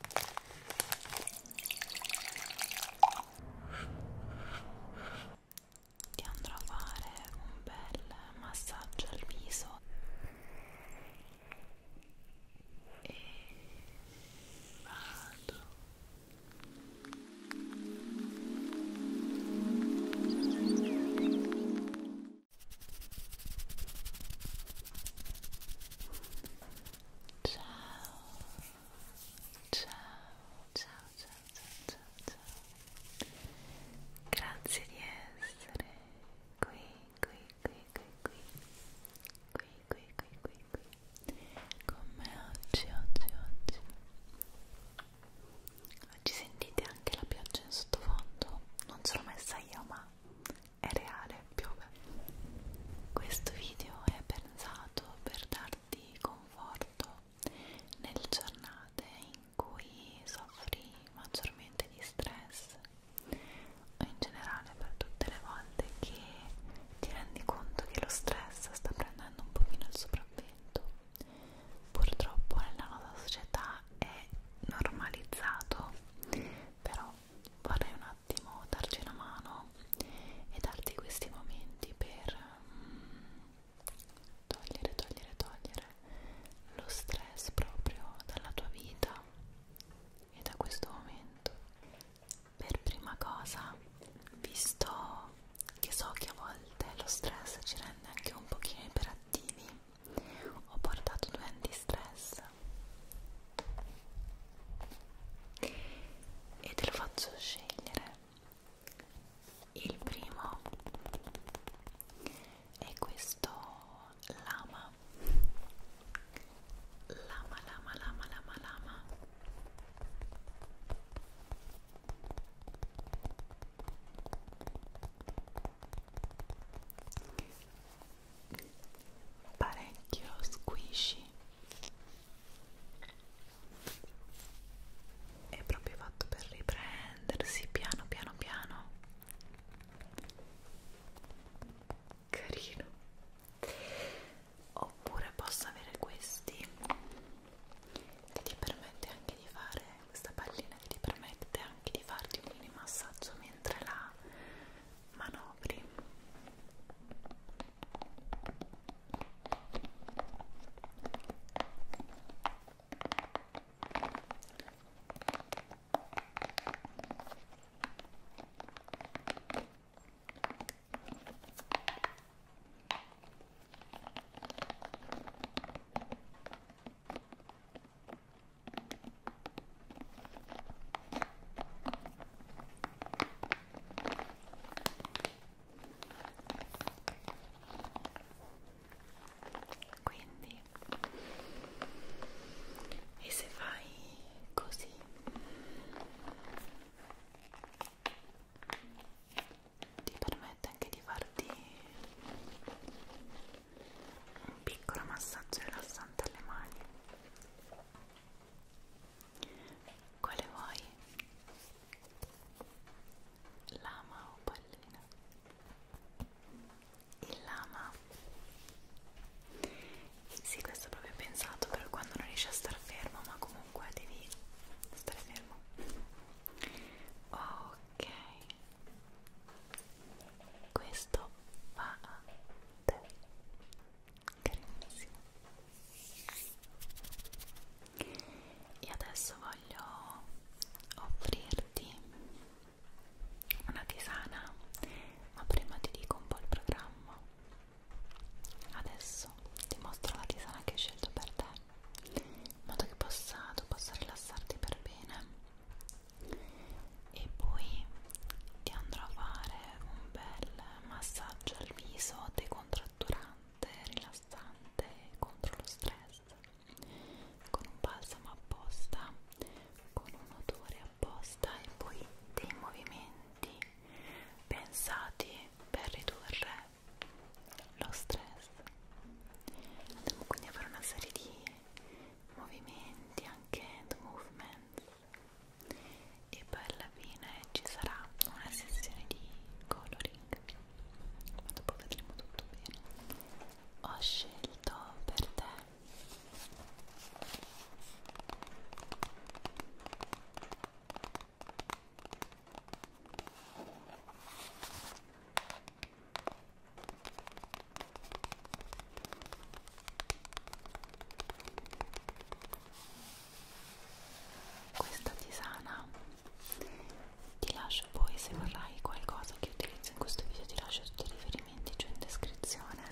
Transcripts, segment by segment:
Ti andrò a fare un bel massaggio al viso e vado ciao ciao ciao ciao ciao ciao grazie di essere qui qui qui qui qui qui qui qui qui qui con me oggi oggi oggi oggi sentite anche la pioggia in sottofondo non ce l'ho messa io ma è reale, piove. Questo video è pensato per darti conforto nelle giornate in cui soffri maggiormente di stress o in generale per tutte le volte che ti rendi conto che lo stress sta prendendo un pochino il sopravvento. Purtroppo nella nostra società è normalizzato, però vorrei un attimo darci una mano e darti questi momenti per mm, togliere, togliere, togliere lo stress proprio dalla tua vita e da questo momento. Per prima cosa, visto che so che a volte lo stress ci rende anche un pochino iperattivi, ho portato due antistress e te lo faccio scegliere il primo è questo lama lama lama lama lama lama parecchio squishy è proprio fatto per riprendersi piano piano piano carino oppure posso avere questi che ti permette anche di fare questa pallina che ti permette anche di farti un mini massaggio mentre la manovri quindi e se fai così ti permette anche di farti un piccolo massaggio rilassante alle mani quale vuoi? Lama o pallina? Il lama. Sì, questo è proprio pensato per quando non riesci a star fermo, ma comunque devi stare fermo. Ok. Questo va a te carissimo e adesso voglio offrirti una tisana ma prima ti dico un po' il programma adesso ti mostro la tisana che ho scelto per te in modo che possa, tu possa rilassarti per bene e poi ti andrò a fare un bel massaggio al viso decontratturante, rilassante contro lo stress con un balsamo apposta, con un odore apposta e poi dei movimenti pensati per ridurre lo stress. Andiamo quindi a fare una serie di movimenti anche hand movements e poi alla fine ci sarà una sessione di coloring ma dopo vedremo tutto bene ho scelto per te questa tisana ti lascio poi se vorrai qualcosa che utilizzo in questo video ti lascio tutti i riferimenti giù in descrizione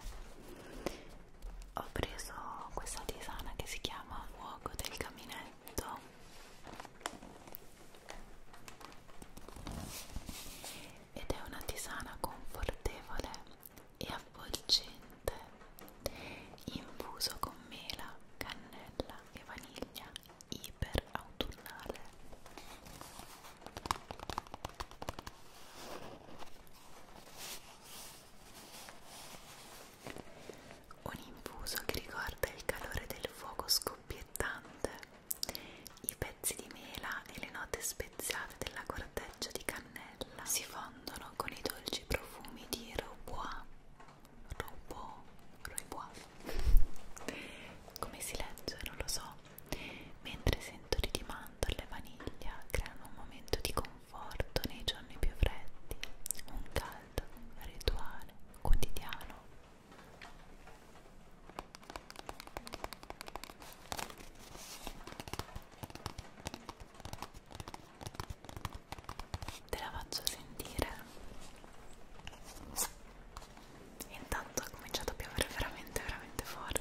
ho preso questa tisana che si chiama fuoco del caminetto ed è una tisana confortevole e avvolgente, infuso con mela, cannella e vaniglia, iper autunnale. Un infuso che ricorda il calore del fuoco scoppiettante, i pezzi di mela e le note speziate della corteccia di cannella cannella si fondono con i dolci profumi di Robois Robois, Robois. come si legge non lo so mentre sentori di mandorle e vaniglia creano un momento di conforto nei giorni più freddi un caldo rituale quotidiano te la faccio sentire intanto ha cominciato a piovere veramente veramente forte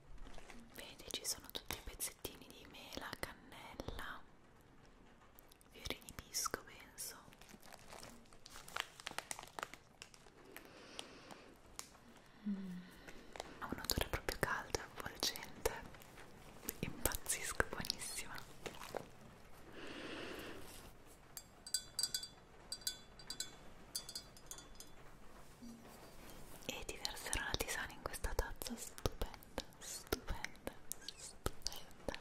vedi ci sono tutti i pezzettini di mela, cannella, fiori di pisco penso mm. ha un odore proprio caldo e avvolgente impazzisco, buonissima e ti verserò la tisana in questa tazza stupenda, stupenda, stupenda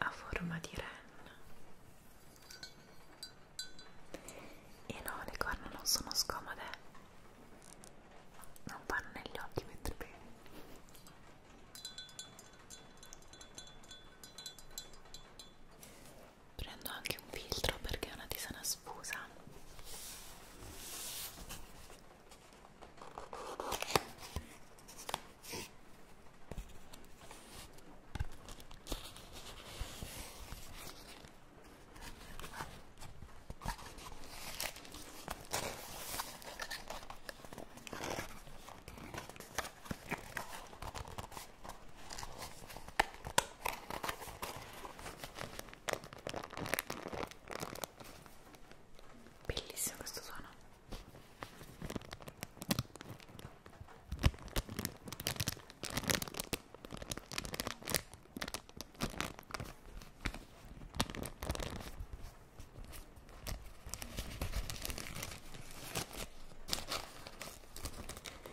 a forma di ren e no le corna non sono scomode non vanno negli occhi mentre bevi prendo anche un filtro perché è una tisana sfusa Bellissimo questo suono.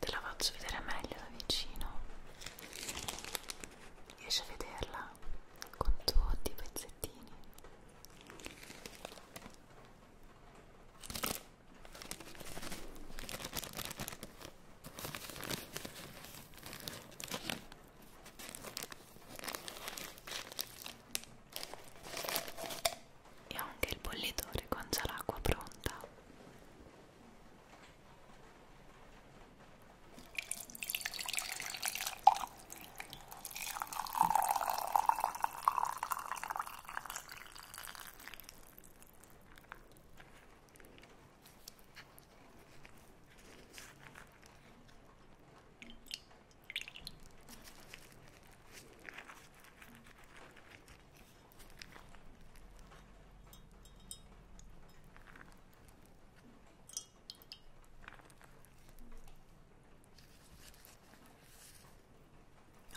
te la faccio vedere meglio da vicino riesci a vederla con tutti i pezzettini e ho anche il bollitore con già l'acqua pronta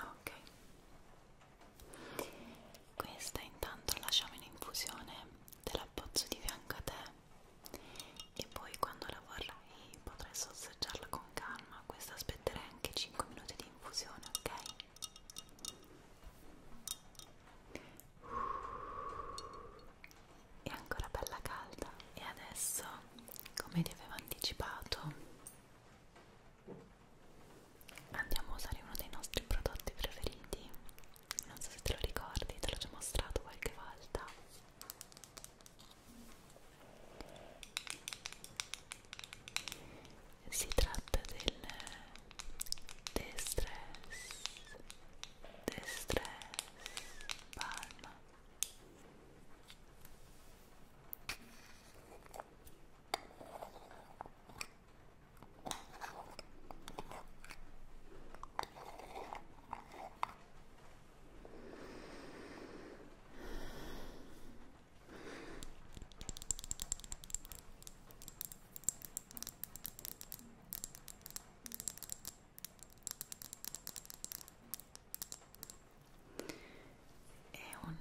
Ok, questa intanto lasciamo in infusione, te la appozzo di fianco a te e poi quando la vorrai e potrai sorseggiarla con calma. Questa aspetterei anche 5 minuti di infusione, ok? È ancora bella calda e adesso, come ti avevo anticipato, andiamo a usare uno dei nostri prodotti preferiti. Non so se te lo ricordi, te l'ho già mostrato qualche volta si tratta del distress distress palma è un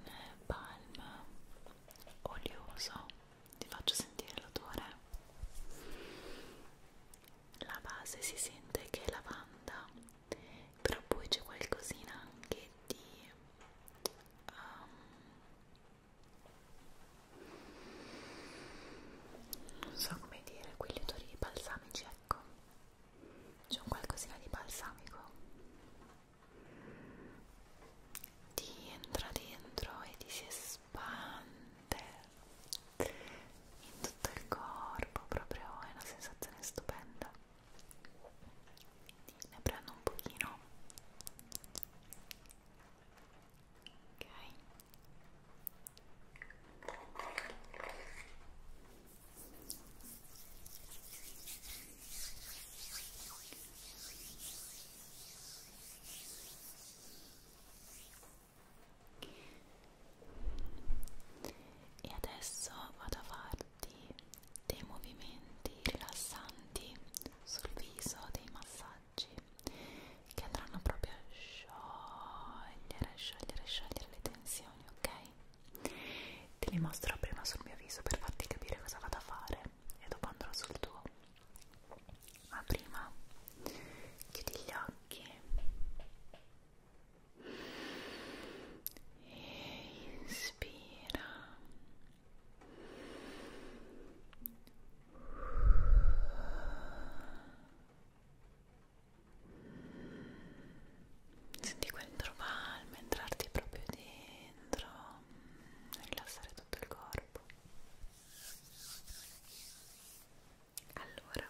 palm olioso, ti faccio sentire l'odore. La base si sente che è lavanda però poi c'è qualcosina anche di um, non so come dire quegli odori balsamici ecco c'è un qualcosina di balsamico ti entra dentro e ti si espande in tutto il corpo proprio è una sensazione stupenda ne prendo un pochino ok e adesso vado a fare tutti dei movimenti rilassanti sul viso, dei massaggi che andranno proprio a sciogliere, sciogliere, sciogliere le tensioni, ok? Te li mostro prima sul mio viso per farti capire cosa vado a fare e dopo andrò sul tuo. Ma prima chiudi gli occhi e inspira senti quel trovalme entrarti proprio dentro e rilassare tutto il corpo allora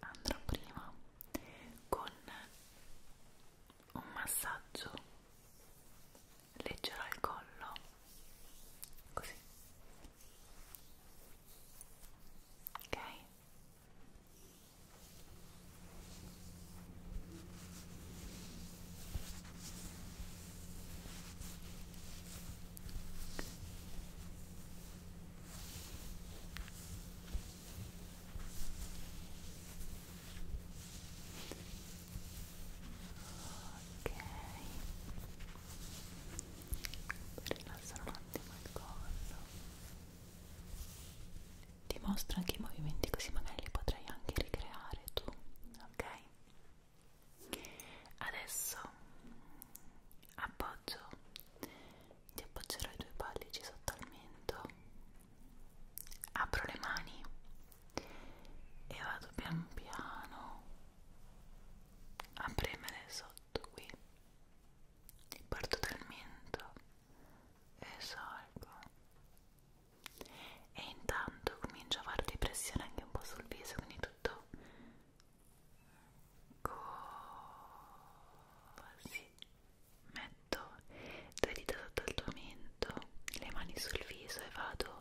andrò prima con un massaggio leggero al collo così ok ok ok rilassare un attimo il collo ti mostro anche i movimenti così magari li potrai anche ricreare tu ok adesso appoggio ti appoggerò i due pollici sotto al mento, apro le mani e vado pian piano a premere sotto qui, parto dal mento e salgo e intanto comincio a fare di pressione anche un po' sul viso, quindi tutto così metto due dita sotto il tuo mento, le mani sul viso e vado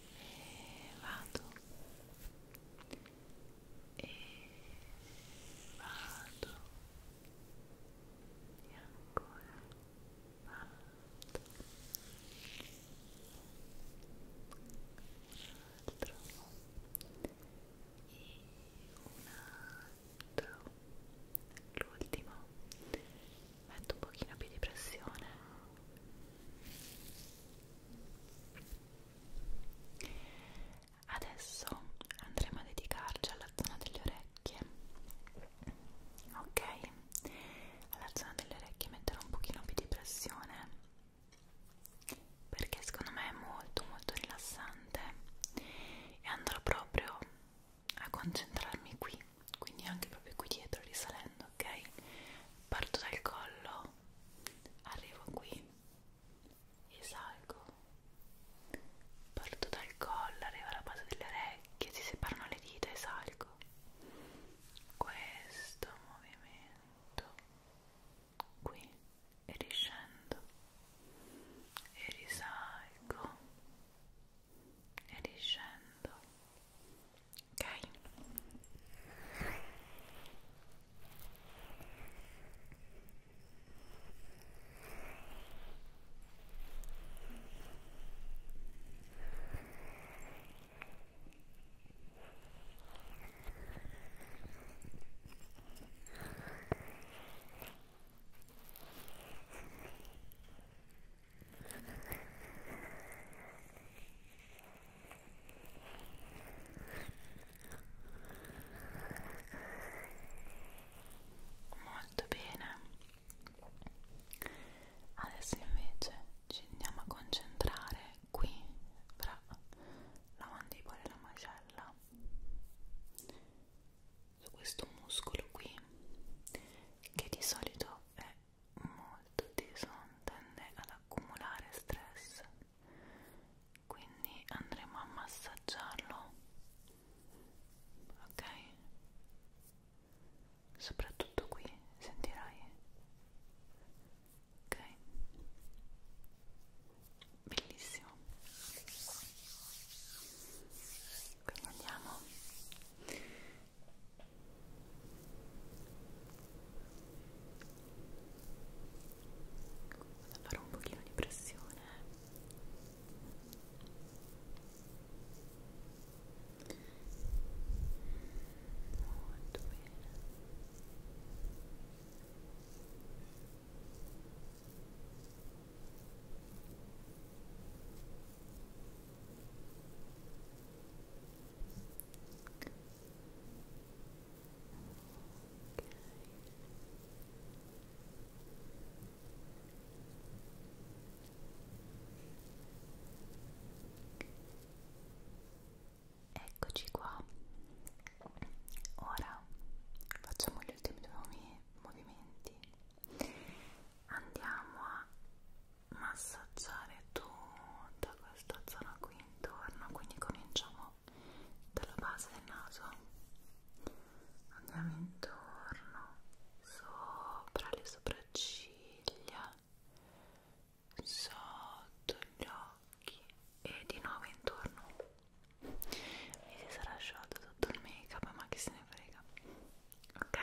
e vado e vado e ancora vado un altro e un altro l'ultimo metto un pochino più di pressione adesso andremo a dedicarci alla zona delle orecchie ok alla zona delle orecchie metterò un pochino più di pressione perché secondo me è molto molto rilassante e andrò proprio a concentrarmi qui quindi anche proprio qui dietro risalendo ok parto dal collo arrivo qui e salgo parto dal collo arrivo alla base delle orecchie si separano le dita e salgo questo movimento qui e riscendo e risalgo e riscendo ok Molto bene. Adesso invece ci andiamo a concentrare qui fra la mandibola e la mascella su questo muscolo qui che di solito è molto teso, tende ad accumulare stress quindi andremo a massaggiarlo ok soprattutto qui sentirai ok bellissimo quindi andiamo a fare un pochino di pressione molto bene Eccoci qua. Ora facciamo gli ultimi due movimenti andiamo a massaggiare tutta questa zona qui intorno quindi cominciamo dalla base del naso andiamo intorno sopra le sopracciglia sotto gli occhi e di nuovo intorno mi si sarà asciolto tutto il make up ma che se ne frega ok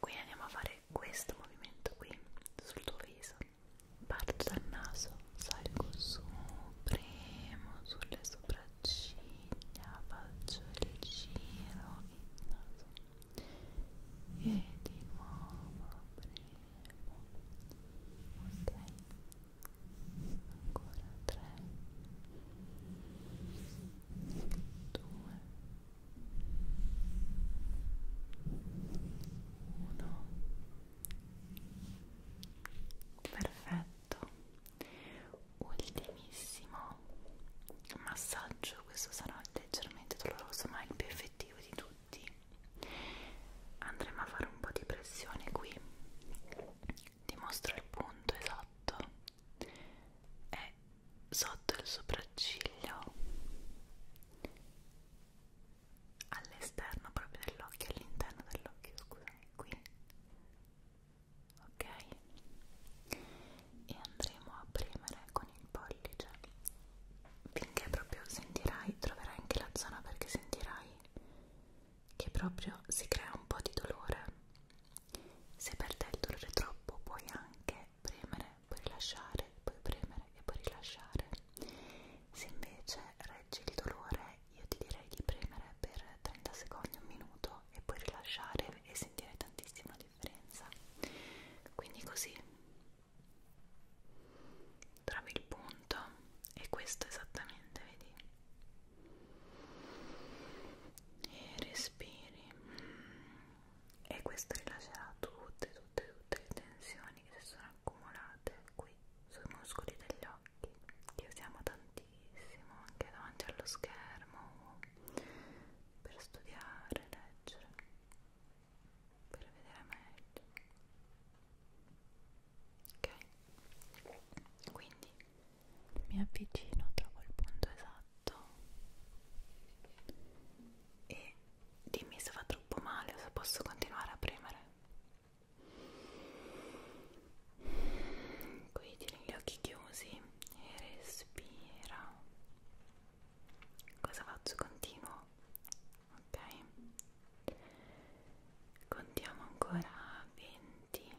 quindi andiamo a fare questo movimento qui sul tuo viso parto dal naso salgo su premo sulle sopracciglia faccio il giro il naso e di nuovo premo ok ancora tre due uno perfetto ultimissimo massaggio questo sarà leggermente doloroso ma è il più effettivo di tutti andremo a fare un po' di pressione qui dimostra il punto esatto è sotto il sopracciglio all'esterno proprio dell'occhio all'interno dell'occhio scusami qui ok e andremo a premere con il pollice finché proprio sentirai troverai anche la zona perché sentirai che proprio si crea un po' di dolore. Se per te il dolore è troppo puoi anche premere, puoi rilasciare, puoi premere e puoi rilasciare. Se invece reggi il dolore io ti direi di premere per 30 secondi, un minuto e puoi rilasciare e sentire tantissima differenza. Quindi così trovi il punto e questo esattamente, vedi? e respiri e questo rilascerà tutte tutte tutte le tensioni che si sono accumulate qui sui muscoli degli occhi che usiamo tantissimo anche davanti allo schermo per studiare, leggere per vedere meglio ok quindi mi avvicino, trovo il punto esatto e dimmi se fa troppo male o se posso continuare a premere qui tieni gli occhi chiusi e respira cosa faccio? continuo? ok? contiamo ancora 20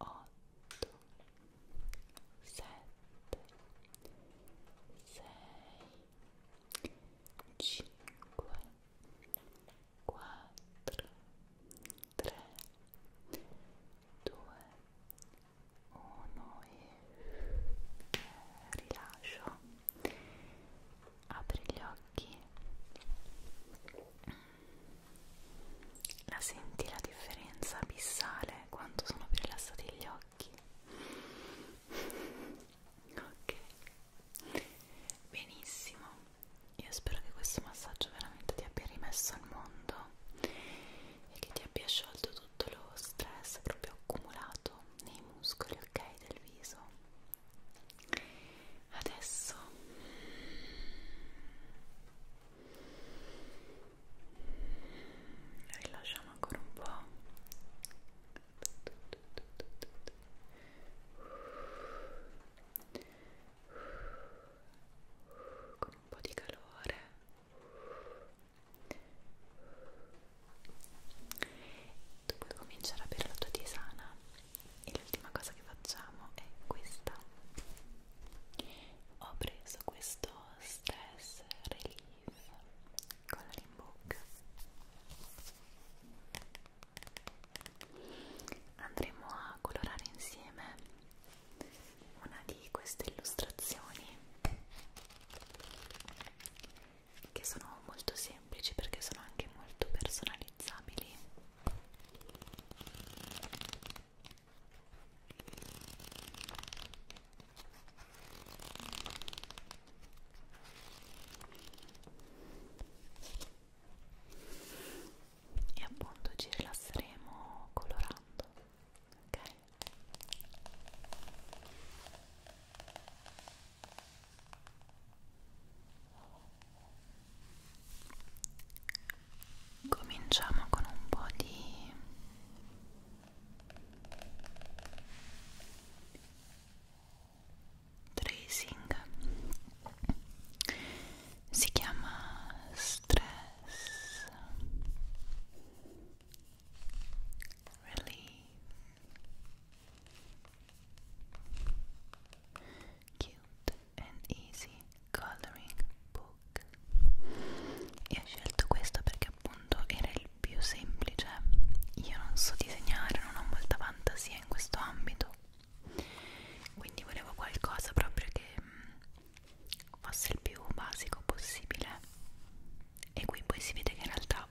otto, sette, sei, cinque, quattro, tre, due, uno e rilascio. Apri gli occhi la senti la differenza abissale quanto sono più rilassati gli occhi? ok, benissimo. Io spero che questo massaggio veramente ti abbia rimesso al mondo e che ti abbia sciolto tutto lo stress proprio accumulato nei muscoli, ok, del viso. Adesso rilasciamo ancora un po' con un po' di calore tu puoi cominciare a bere la tua tisana e l'ultima cosa che facciamo è questa ho preso questo stress relief coloring book andremo a colorare insieme una di queste illustrazioni che sono molto semplici perché sono anche molto personalizzabili e appunto ci rilasseremo colorando ok cominciamo con un po' di tracing si chiama stress relief cute and Easy Coloring Book e ho scelto questo perché appunto era il più semplice io non so disegnare, non ho molta fantasia in questo ambito quindi volevo qualcosa proprio che mm, fosse il più basico possibile e qui poi si vede che in realtà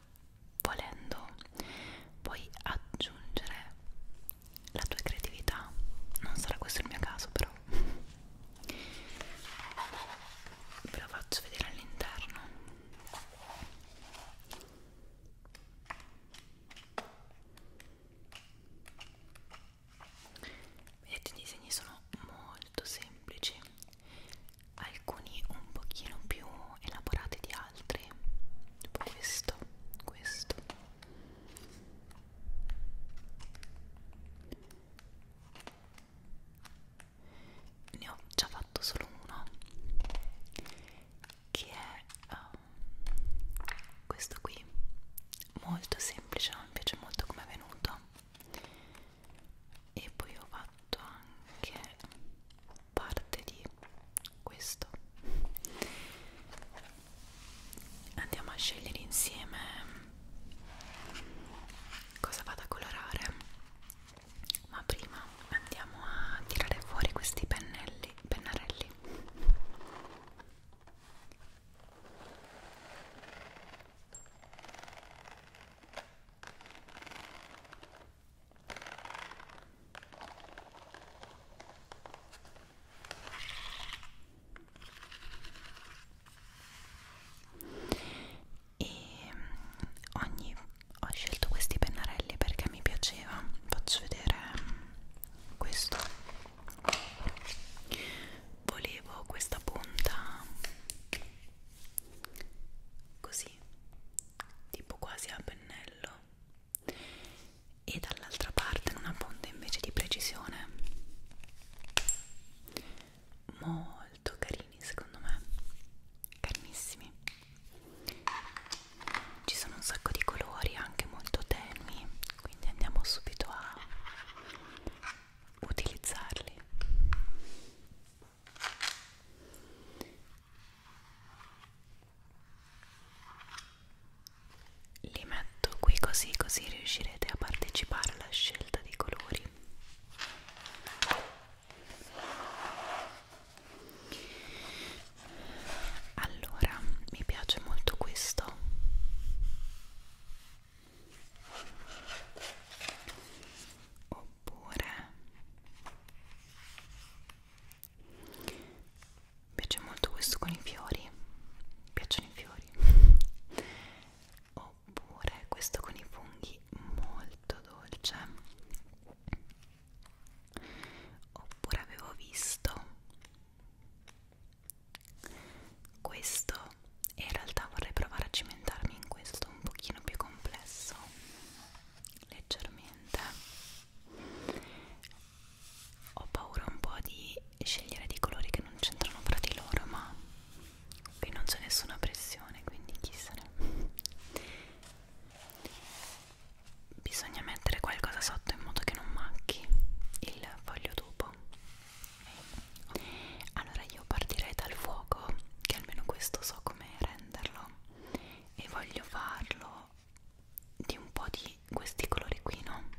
volendo puoi aggiungere la tua creatività non sarà questo il mio caso però ve la faccio vedere all'interno vedete i disegni sono molto semplici alcuni un pochino più elaborati di altri tipo questo questo ne ho già fatto solo uno che è um, questo qui molto semplice mi piace molto come è venuto e poi ho fatto anche parte di questo andiamo a scegliere insieme cosa vado a colorare ma prima andiamo a tirare fuori questi pennelli pennarelli e mm, ogni ho scelto questi pennarelli perché mi piaceva faccio vedere mm, questo volevo questa punta così tipo quasi a pennello e dall'altra parte una punta invece di precisione molto carini secondo me carinissimi ci sono un sacco di colori anche molto tenui quindi andiamo subito a utilizzarli li metto qui così così riuscirete a partecipare alla scelta dei colori allora mi piace molto questo oppure mi piace molto questo con i fiori mi piacciono i fiori pomodori oppure questo con i funghi molto dolce oppure avevo visto questo e in realtà vorrei provare a cimentarmi in questo un pochino più complesso leggermente ho paura un po' di scegliere dei colori che non c'entrano fra di loro ma qui non c'è nessuna pressione quindi chi se ne bisogna mettere qualcosa sotto in modo che non macchi il foglio dopo allora io partirei dal fuoco che almeno questo so come renderlo e voglio farlo di un po' di questi colori qui no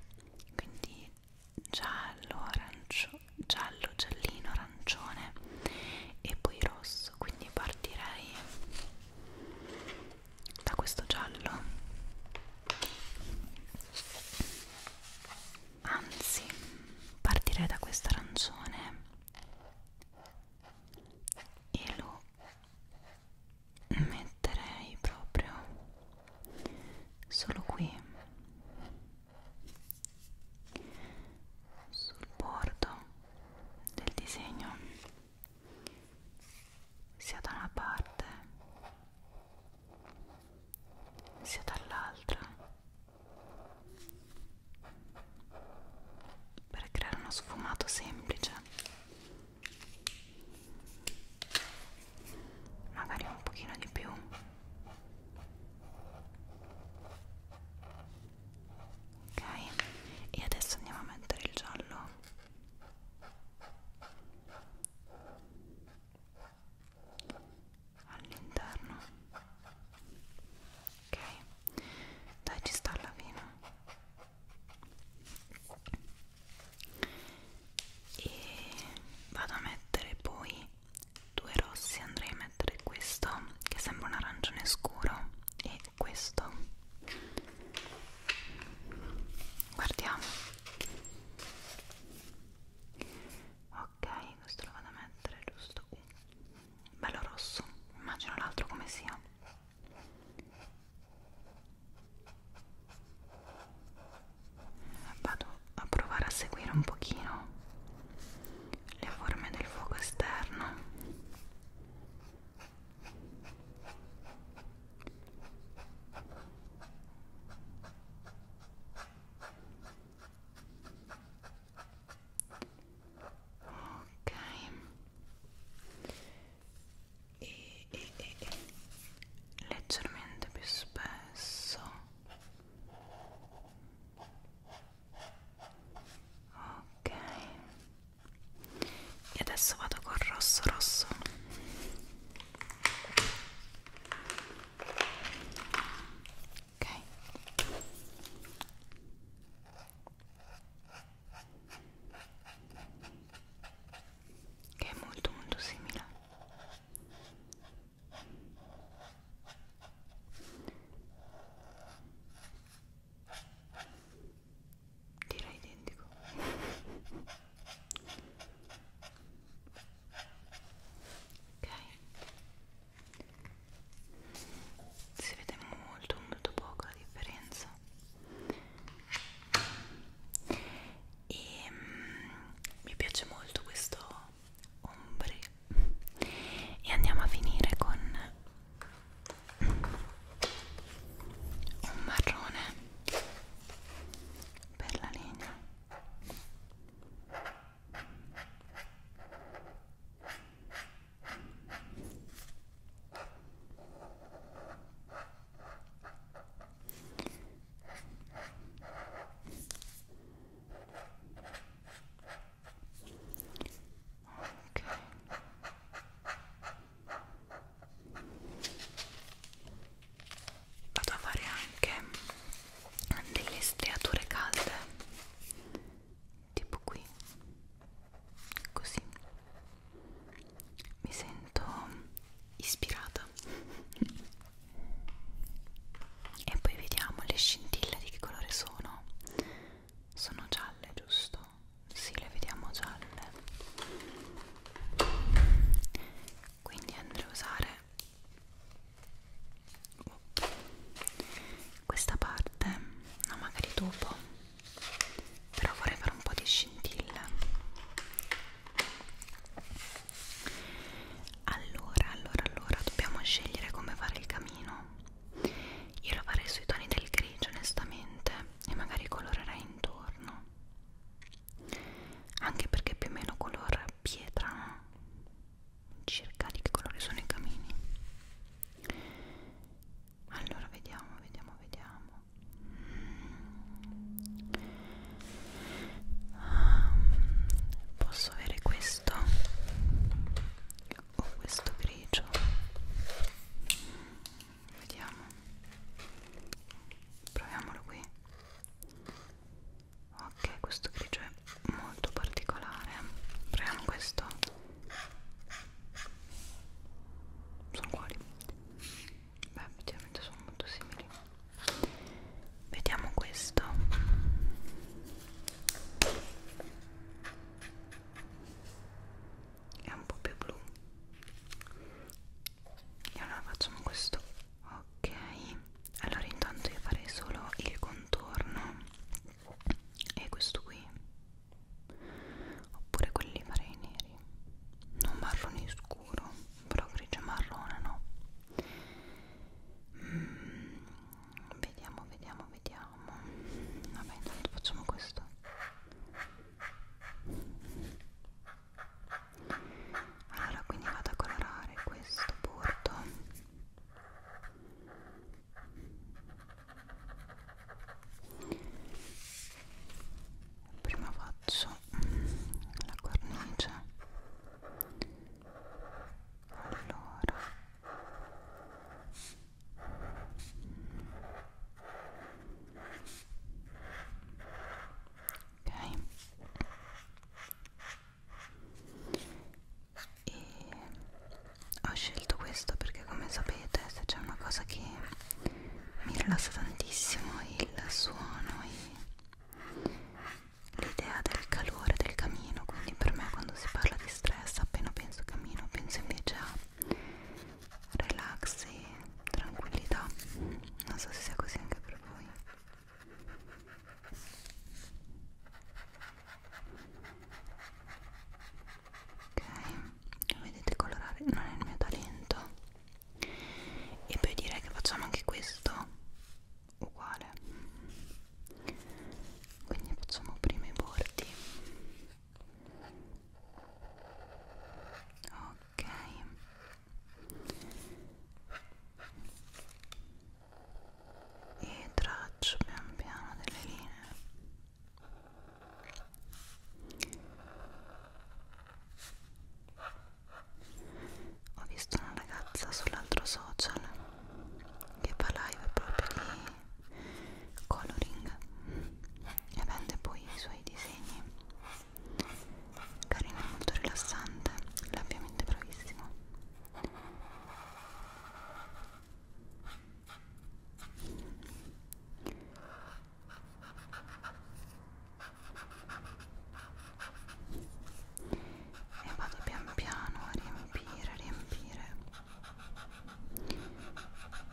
quindi giallo, arancio, giallo, giallino, arancione e poi rosso, quindi partirei da questo giallo anzi partirei da questo arancione e lo metterei proprio solo qui sul bordo del disegno sia da una parte sia dall'altra per creare uno sfumato semplice magari un pochino di più ok e adesso andiamo a mettere il giallo all'interno ok dai ci sta alla fine e vado a mettere poi due rossi andrei a mettere questo che sembra un arancione scuro e questo guardiamo ok questo lo vado a mettere giusto qui uh, bello rosso immagino l'altro come sia vado a provare a seguire un pochino le forme del fuoco esterno ok e, e, e, e leggermente più spesso ok e adesso vado col rosso rosso ok che è molto molto simile direi identico ok si vede molto molto poco la differenza e mm, mi piace molto questo ombre e andiamo a finire con un marrone per la legna Ok. Vado a fare anche delle striature calde, tipo qui, così mi sento ispirata puntata esatto. e poi vediamo le scintille di che colore sono sono gialle giusto? Sì, le vediamo gialle quindi andrò a usare questa parte no magari dopo però vorrei fare un po' di scintille allora, allora, allora dobbiamo scegliere come fare il camino. Io lo farei sui toni del grigio, onestamente, e magari colorerei intorno. Anche perché più o meno color pietra, no? Circa di che colori sono i camini. Allora, vediamo, vediamo, vediamo um, posso avere questo o questo grigio vediamo proviamolo qui ok questo grigio è molto particolare proviamo questo sono uguali beh effettivamente sono molto simili vediamo questo è un po' più blu e allora facciamo questo ok allora intanto io farei solo il contorno e questo qui oppure quelli farei neri non marrone scuro però grigio marrone no mm, vediamo vediamo vediamo vabbè intanto facciamo questo allora quindi vado a colorare questo bordo prima faccio la cornice allora ok e ho scelto questo perché come sapete se c'è una cosa che mi rilassa tantissimo il suono e l'idea del calore del camino quindi per me quando si parla di stress appena penso camino penso invece a relax e tranquillità non so se sia così anche per voi ok vedete colorare non è il mio talento e poi direi che facciamo anche questo uguale quindi facciamo prima i bordi ok e traccio pian piano delle linee ho visto una ragazza sull'altro social che fa live proprio di coloring e vende poi i suoi disegni carino molto rilassante l'ambiente bravissimo e vado pian piano a riempire, riempire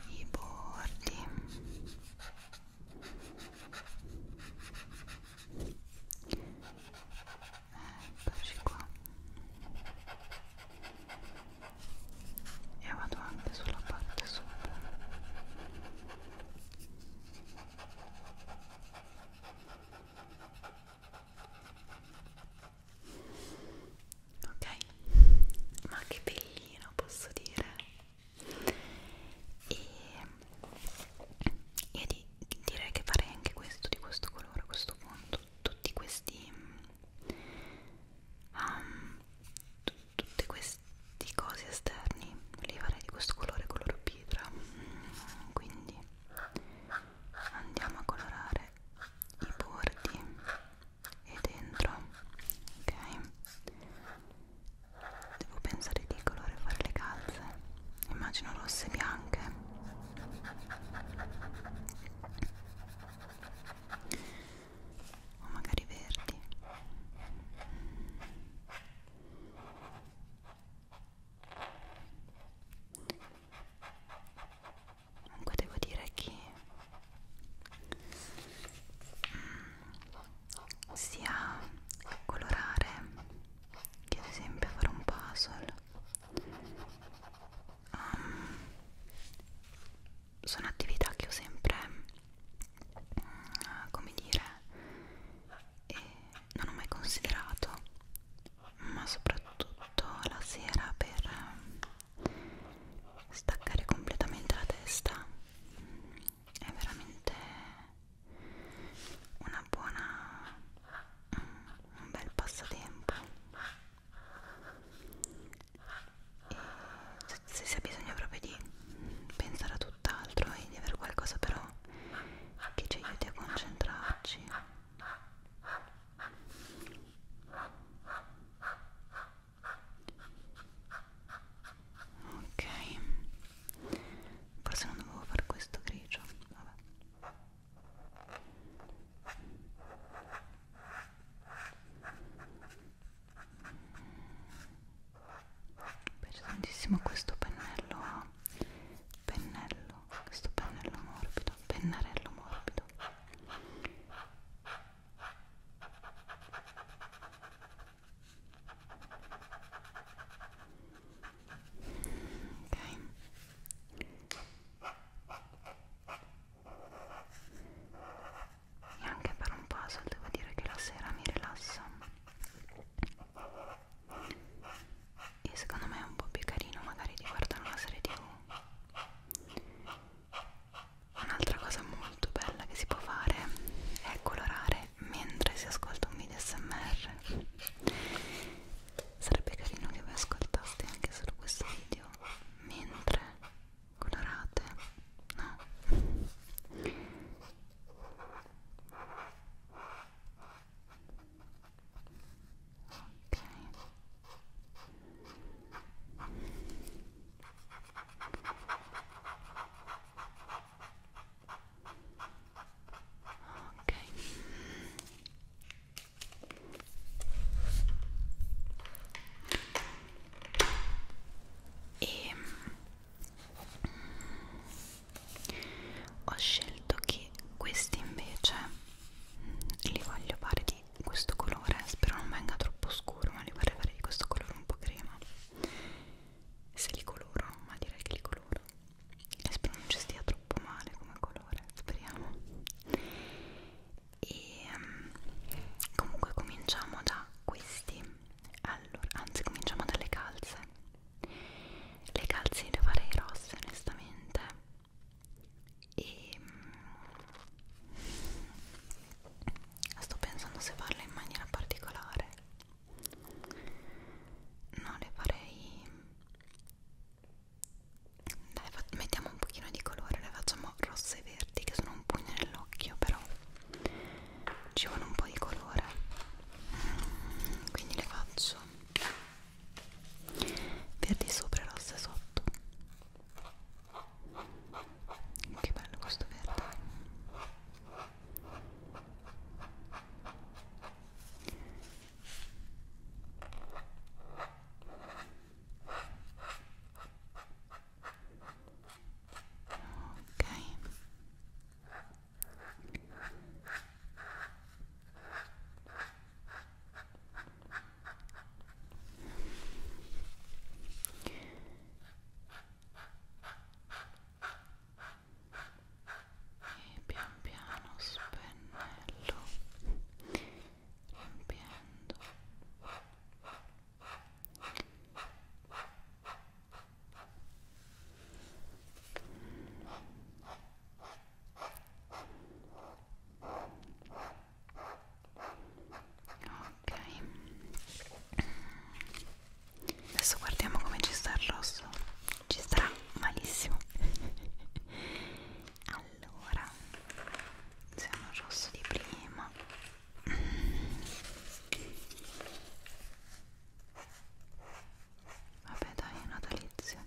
i bordi eccoci qua e vado anche sulla parte sopra e ok ma che bellino posso dire e io di, direi che farei anche questo di questo colore a questo punto tutti questi um, tutti questi cosi esterni li farei di questo colore colore pietra mm, quindi andiamo a colorare i bordi e dentro ok devo pensare di colore fare le calze immagino rosse e bianche o magari verdi comunque devo dire che mm, sia colorare che ad esempio fare un puzzle um, sono attività che ho sempre mm, come dire e non ho mai considerato ma soprattutto la sera per ehm, staccare completamente la testa è veramente una buona un bel passatempo e se si ha bisogno proprio di pensare a tutt'altro e di avere qualcosa però che ci aiuti a concentrarci ok forse non dovevo fare questo grigio vabbè mi piace tantissimo questo pennello ah. pennello questo pennello morbido pennarello morbido ok e anche per un puzzle devo dire che la sera mi rilassa e secondo me è un po' più carino magari di guardare una serie tv un'altra cosa molto bella che si può fare è colorare mentre si ascolta un video smr sarebbe carino che voi ascoltaste anche solo questo video mentre colorate no ok ok e ehm, ho scelto che questi invece li voglio fare di questo colore spero non venga troppo scuro ma li vorrei fare di questo colore un po' crema se li coloro ma direi che li coloro e spero non ci stia troppo male come colore speriamo e um, comunque cominciamo da questi allora anzi cominciamo dalle calze le calze le farei rosse onestamente e mm, sto pensando se farle in maniera particolare no le farei dai mettiamo un pochino di colore le facciamo rosse e verdi che sono un pugno nell'occhio però ci vuole un po' di colore quindi le faccio verdi sopra e rosse sotto che bello questo verde ok e pian piano spennello riempiendo Mm ok adesso guardiamo come ci sta il rosso ci starà malissimo allora siamo al rosso di prima Vabbè dai, natalizio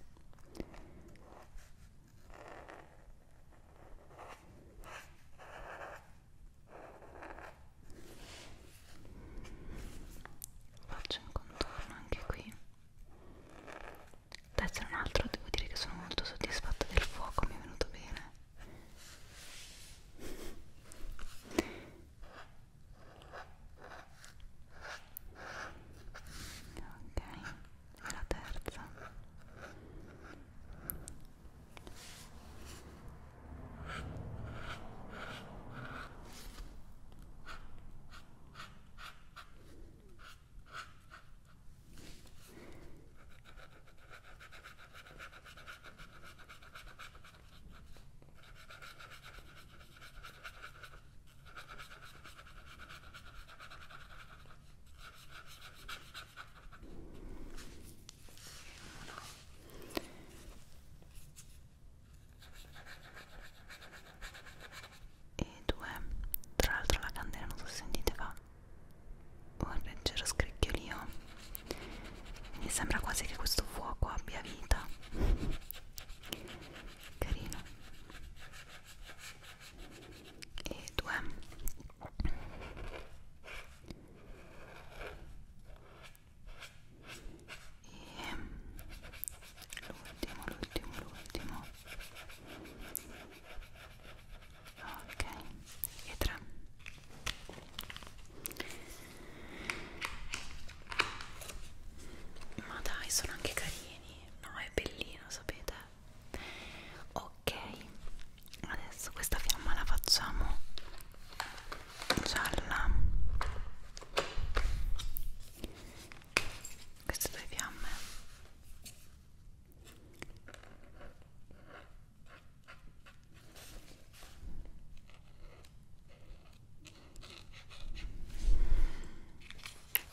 faccio un contorno anche qui Adesso un altro devo dire che sono molto soddisfatta del fuoco mi è venuto bene ok alla terza e due tra l'altro la candela non so se sentite fa un leggero scricchiolio mi sembra quasi che questo fuoco abbia vita carino e 2 e l'ultimo l'ultimo l'ultimo ok e 3 ma dai sono anche carini no è bellino sapete ok adesso questa fiamma la facciamo gialla queste due fiamme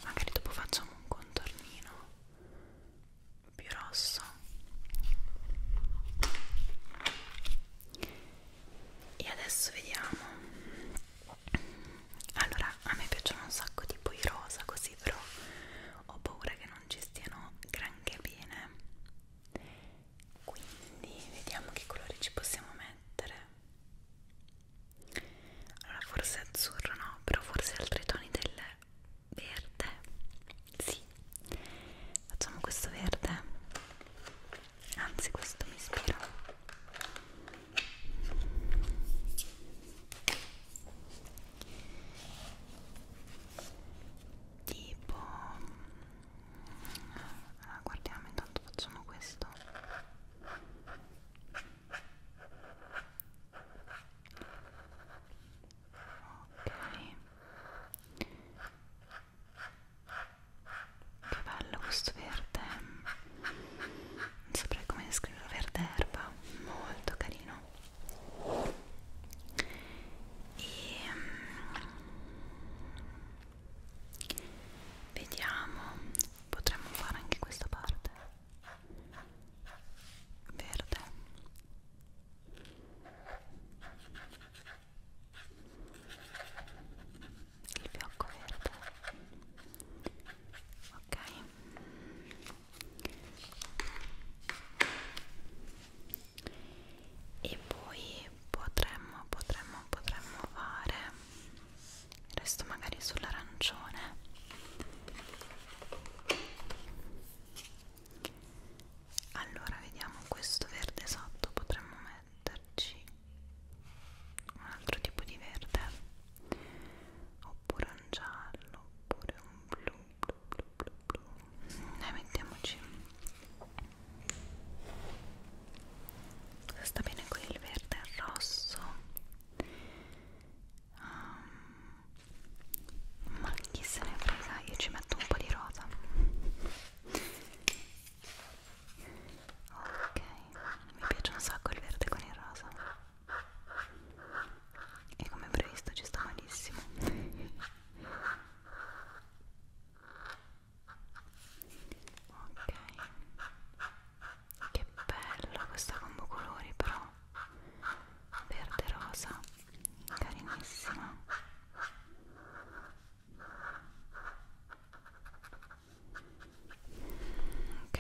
magari dopo facciamo un contornino più rosso e adesso vediamo allora a me piacciono un sacco tipo i rosa così però ho paura che non ci stiano granché bene quindi vediamo che colori ci possiamo mettere allora forse azzurro no però forse altri toni del verde sì facciamo questo verde anzi questo mi ispira tipo allora, ah, guardiamo intanto facciamo questo Ok. Che bello questo verde. Non saprei come descriverlo, verde erba, molto carino. E mm, vediamo, potremmo fare anche questa parte verde il fiocco verde ok e poi potremmo potremmo potremmo fare resto magari sull'arancione allora vediamo questo verde sotto potremmo metterci un altro tipo di verde oppure un giallo oppure un blu blu blu blu blu ne mettiamoci sta bene con il verde e il rosso um, ma chi se ne frega io ci metto un po' di rosa ok mi piace un sacco il verde con il rosa e come previsto ci sta malissimo ok che bella questa combo colori però verde rosa carinissima ok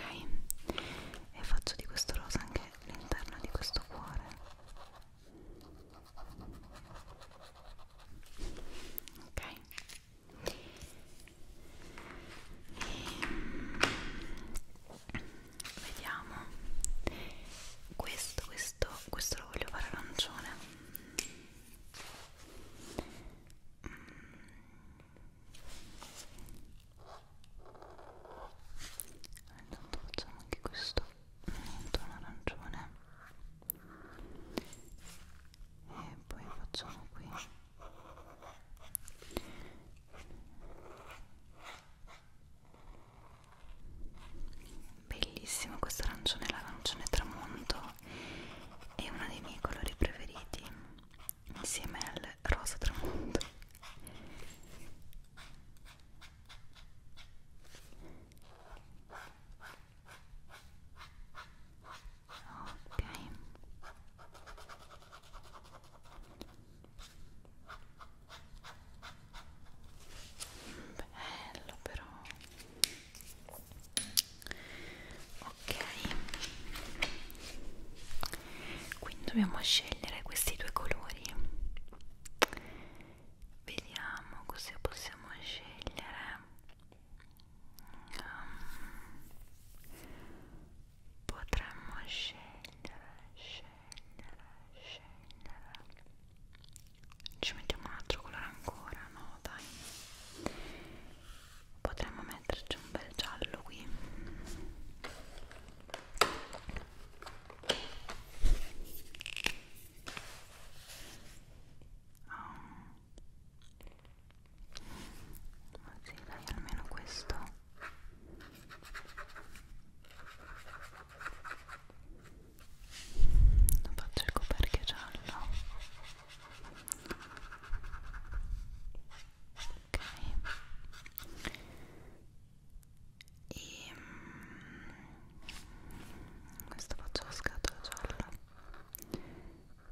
e faccio di questo rosa anche l'interno di questo cuore ok e, vediamo questo questo questo lo voglio fare arancione mm. intanto facciamo anche questo un tono arancione e poi facciamo qui Bellissimo questo arancione, l'arancione tramonto è uno dei miei colori preferiti insieme al rosa tramonto. Ok bello però ok quindi dobbiamo scegliere questi due colori vediamo cosa possiamo scegliere um, potremmo scegliere, scegliere, scegliere. Ci mettiamo un altro colore ancora, no? Dai. Potremmo metterci un bel giallo qui. Oh. Ah. Ma sì, dai, almeno questo faccio il coperchio giallo ok e mm, questo faccio la scatola gialla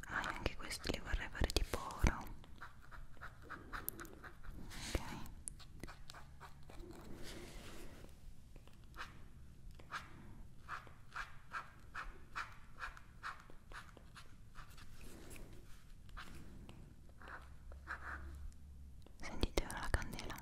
ah, anche questi li vorrei fare tipo oro ok sentite ora la candela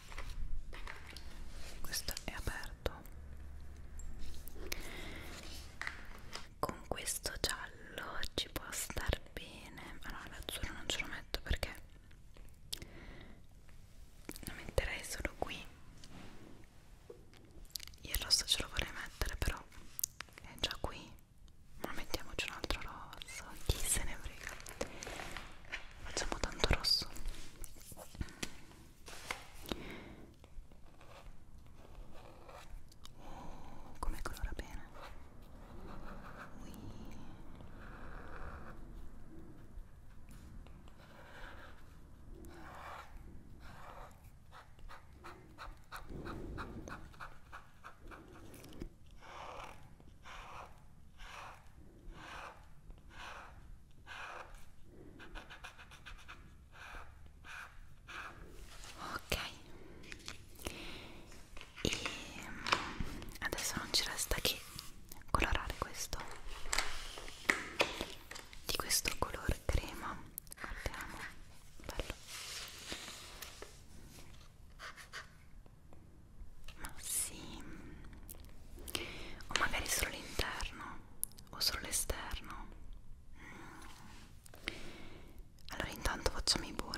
questo è aperto con questo giallo ci può star bene ah no l'azzurro non ce lo metto perché lo metterei solo qui il rosso ce lo vorrei mettere però è già qui ma mettiamoci un altro rosso chi se ne frega facciamo tanto rosso oh, come colora bene Ui. Ecco ok e mm, adesso non ci resta che colorare questo di questo colore crema guardiamo bello ma sì, o magari solo l'interno o solo l'esterno. Mm. Allora intanto facciamo i bordi.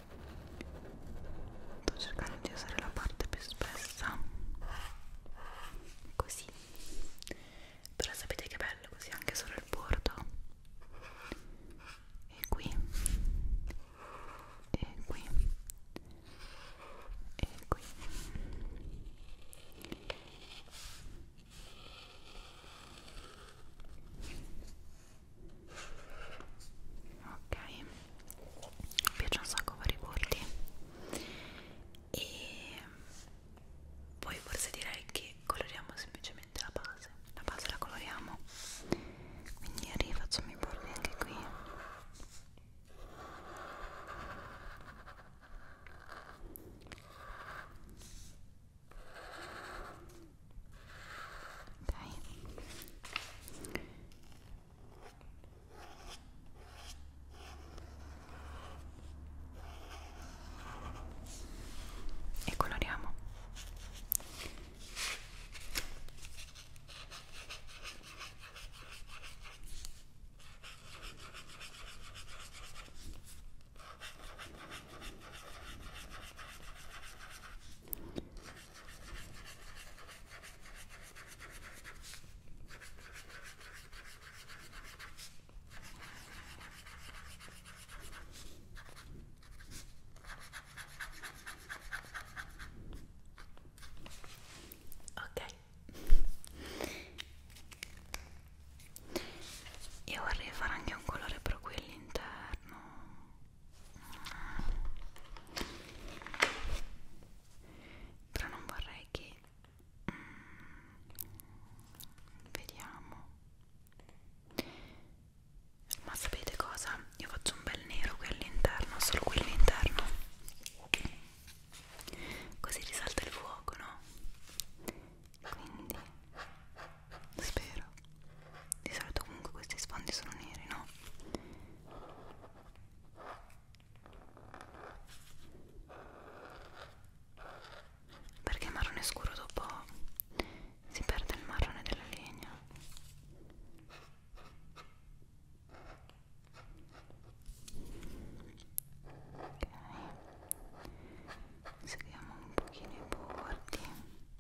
sto cercando di usare la parte più spessa così però sapete che bello così anche solo il bordo e qui e qui e qui ok mi piace un sacco fare i bordi e poi forse direi che coloriamo semplicemente la base la base la coloriamo quindi rifacciamo i bordi anche qui ok e coloriamo Ok, io vorrei fare anche un colore per qui all'interno però non vorrei che mm, vediamo ma sapete cosa? io faccio un bel nero qui all'interno solo qui all'interno così risalta il fuoco no? quindi spero di solito comunque questi sfondi sono neri no? perché il marrone scuro dopo si perde il marrone della legna ok seguiamo un pochino i bordi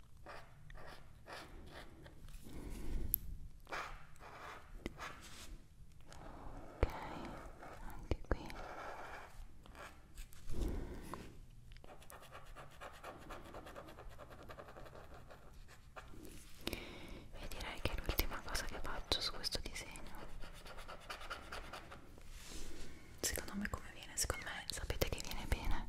anche qui e direi che è l'ultima cosa che faccio su questo disegno secondo me come viene? secondo me sapete che viene bene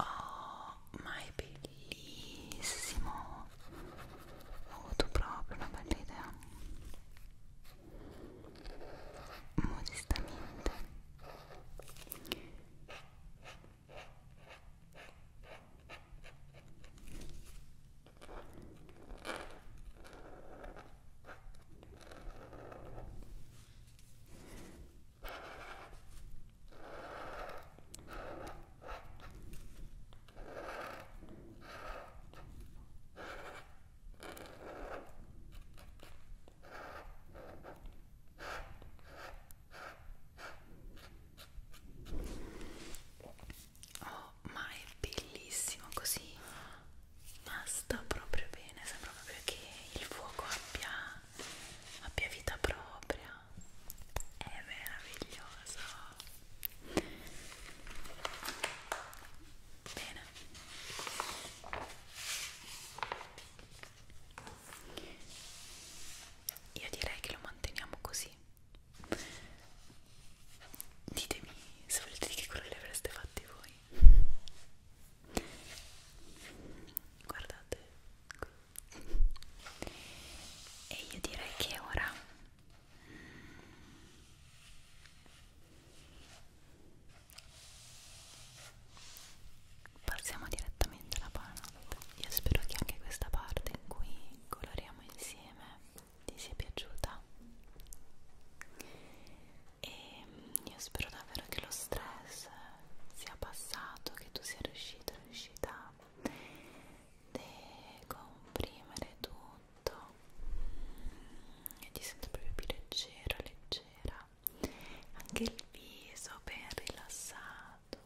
Oh, ma è bellissimo! Ho avuto proprio una bella idea. Modestamente. Oh, ma è bellissimo così. Ma sta proprio bene, sembra proprio che il fuoco abbia, abbia vita propria è meraviglioso bene io direi che lo manteniamo così ditemi se volete di che quello li avreste fatti voi guardate qui e io direi che ora passiamo direttamente alla paranoid io spero che anche questa parte in cui coloriamo insieme ti sia piaciuta e mm, io spero davvero che lo stress sia passato che tu sia riuscito riuscita riuscita a decomprimere tutto e ti sento proprio più leggera, leggera anche il viso ben rilassato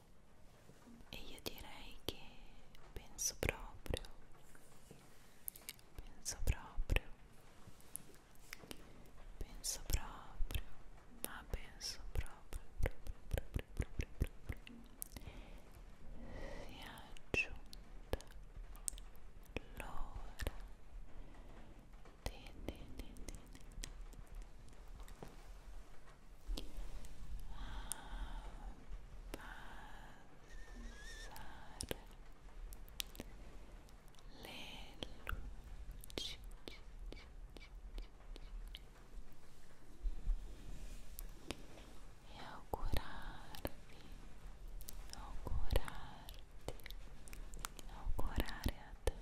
e io direi che penso proprio penso proprio penso proprio ma ah, penso proprio, proprio, proprio, proprio, proprio, proprio. sia giunta l'ora di, di, di, di, di. abbassare ah, le luci e augurarvi, augurarti, augurare a te,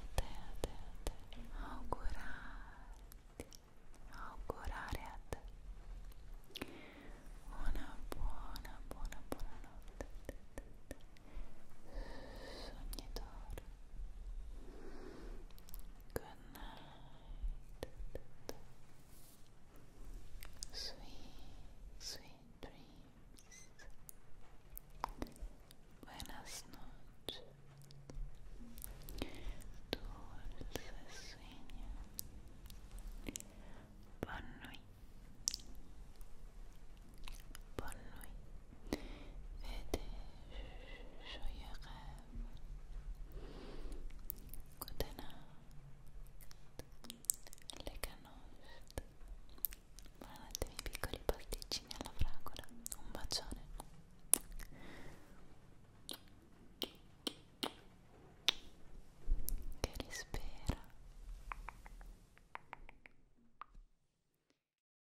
a te, a te, a te, augurarti, augurare a te una buona, buona, buona notte. sognatore good sweet, dreams buenas noches dulce sueño bonne nuit bonne nuit vede شويقات good night le canost buonanotte miei piccoli pasticcini alla fragola un bacione che rispera